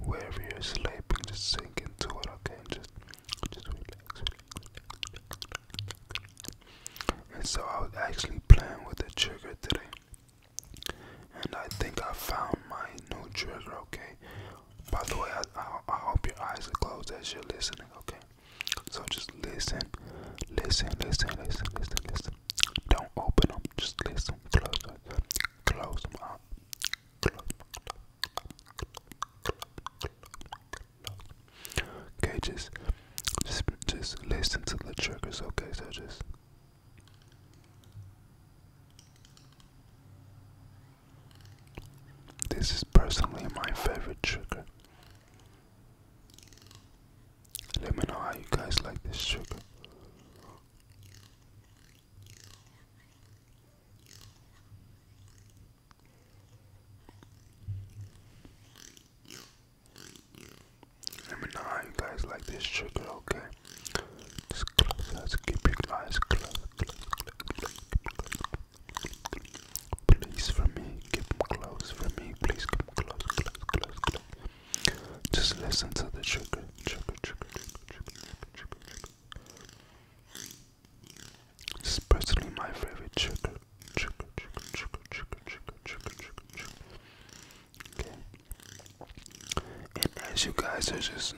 wherever you're sleeping, just sink into it, okay? Just, just relax, And so I was actually playing with the trigger today, and I think I found my new trigger, okay? By the way, I, I, I hope your eyes are closed as you're listening, okay? So just listen, listen, listen, listen, listen, listen. Don't open them, just listen, close them, close them up. Okay, just, just, just listen to the triggers. Okay, so just. This is personally my favorite trigger. Let me know how you guys like this trigger. Let me know how you guys like this trigger, okay? Just close, let's keep your eyes closed, close, close, close. Please, for me, keep them close for me. Please, keep them close, close, close, close. Just listen to the trigger, trigger, trigger, trigger, trigger, trigger, trigger, it's personally my favorite chicken. Chicken, chicken, chicken, chicken, chicken, chicken, chicken, chicken. Okay. And as you guys are just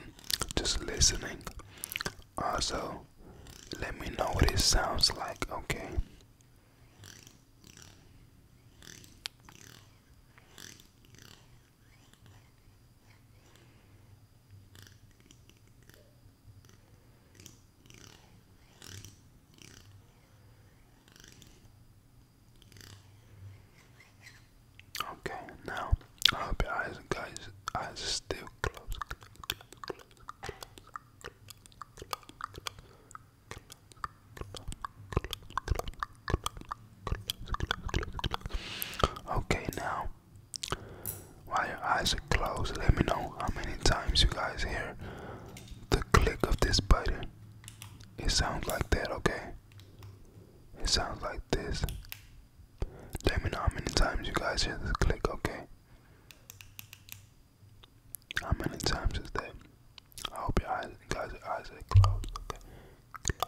just listening, also let me know what it sounds like, okay? Okay, now I hope your eyes, guys, are still closed. Okay, now while your eyes are closed, let me know how many times you guys hear the click of this button. It sounds like that, okay? It sounds like this. Let me know how many times you guys hear this click, okay? How many times is that? I hope your eyes, guys, your eyes are closed, okay?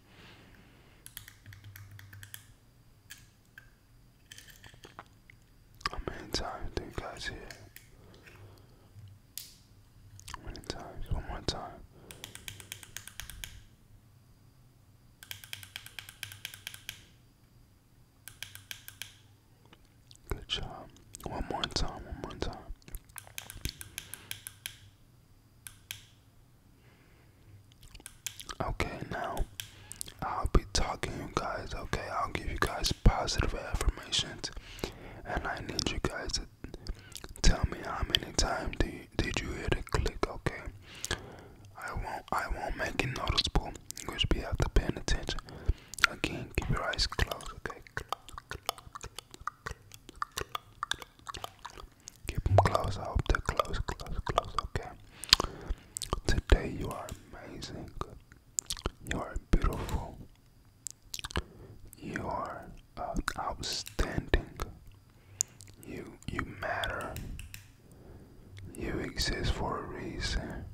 How many times do you guys hear? How many times? One more time. Good job. One more time, one more time. Okay, now I'll be talking you guys, okay? I'll give you guys positive affirmations. And I need you guys to tell me how many times do did you hear the click, okay? I won't I won't make it noticeable. You should be have to paying attention. Again, keep your eyes closed, okay? Keep them close. I hope they're close, close, close. Okay. Today you are amazing. You are beautiful. You are uh, outstanding. You you matter. You exist for a reason.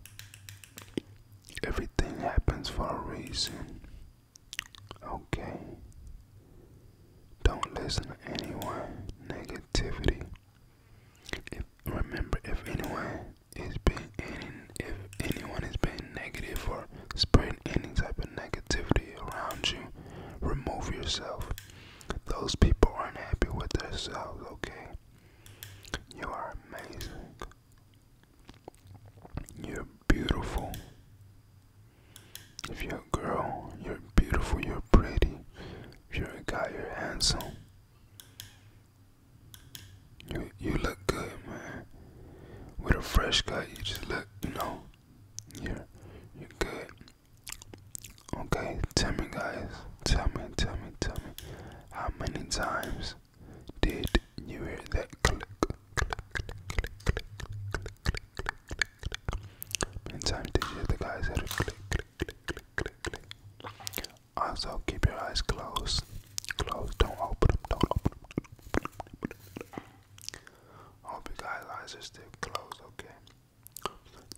Everything happens for a reason. Okay. Don't listen to anyone negativity. If remember if anyone is being if anyone is being negative or spreading any type of negativity around you, remove yourself. Those people aren't happy with themselves, okay? You are amazing. You're beautiful. If you're a girl, you're beautiful, you're pretty. If you're a guy, you're handsome. You you look good, man. With a fresh guy, you just look, you know, you're you're good. Okay, tell me guys, tell me, tell me, tell me, how many times did you hear that click, click, click. Meantime, the guys that click, click, click, click, click, click. Also, keep your eyes closed. Closed. Don't open them. Don't open them. hope you guys' eyes are still closed, okay?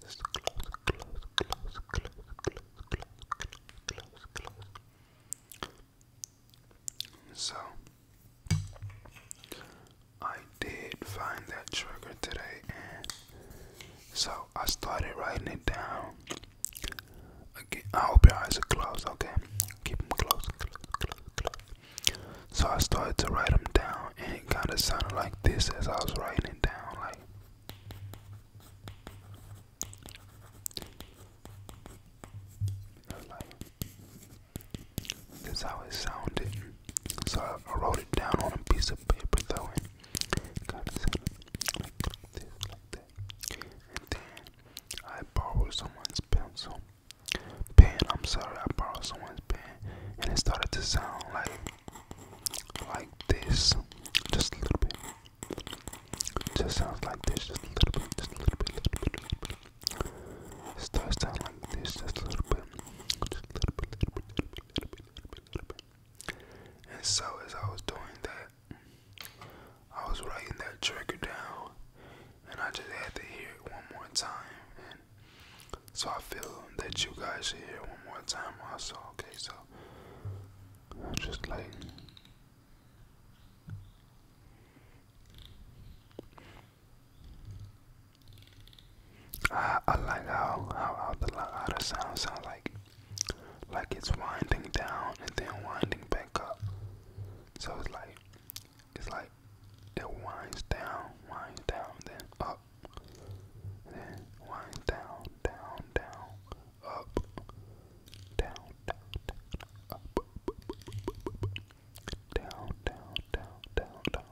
Just close, close, close, close, close, close, close, close, close. So, I did find that trigger today, so I started writing it down. I hope your eyes are closed, okay? Keep them closed, So I started to write them down, and it kind of sounded like this as I was writing it down, Like, that's how it sounded. So I, I wrote it down on a piece of paper though and kind of said like this, like that. And then I borrowed someone's pencil. Pen, I'm sorry, I borrowed someone's pen and it started to sound like like this. Just a little bit. Just sounds like this, just a little bit, just a little bit, little bit, little bit. It starts sounding like this, just a little bit, just a little bit, little bit, little bit. And so as I was doing that, I was writing that trigger down, and I just had to hear it one more time. And so I feel that you guys should hear one more time also. Okay, so just like. I, like how how, the how the sound sounds like like it's winding down and then winding back up. So it's like it's like it winds down, winds down, then up, then winds down, down, down, up, down, down, up, down, down, down, down, down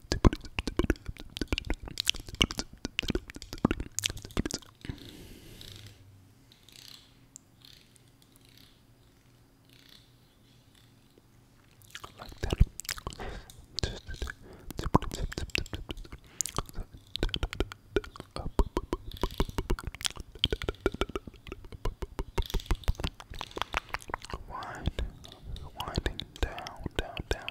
Like that. Wind, winding down, down, down,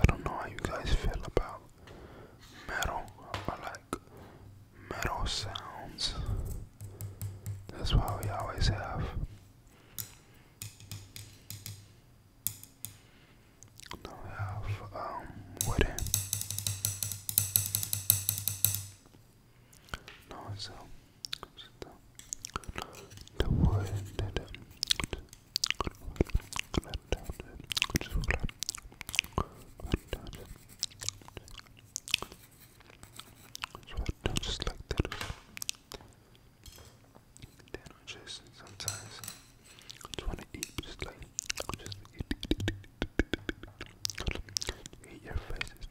I don't know how you guys feel about metal. I like metal sounds. That's why we always have. Now we have um, wooden. No, so the, the wood that just like that. Then I just sometimes just wanna eat just like just eat your face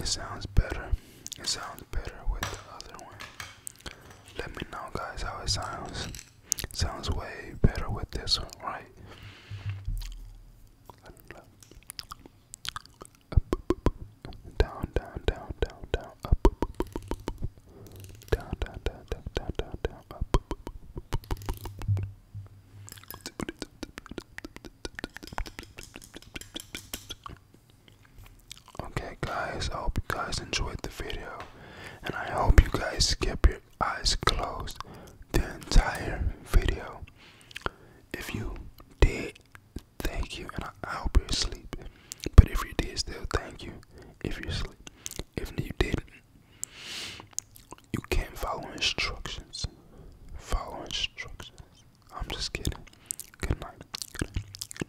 it sounds better. It sounds better with the other one. Let me know, guys, how it sounds. Sounds way better with this one, right? down, down, down, down, down, up, down, down, down, down, down, down, up. Okay, guys, I hope you guys enjoyed the video, and I hope you guys kept your eyes closed the entire video. If you did, thank you, and I, hope you're asleep. But if you did, still thank you. If you're asleep, if you didn't, you can't follow instructions. Follow instructions. I'm just kidding. Good night.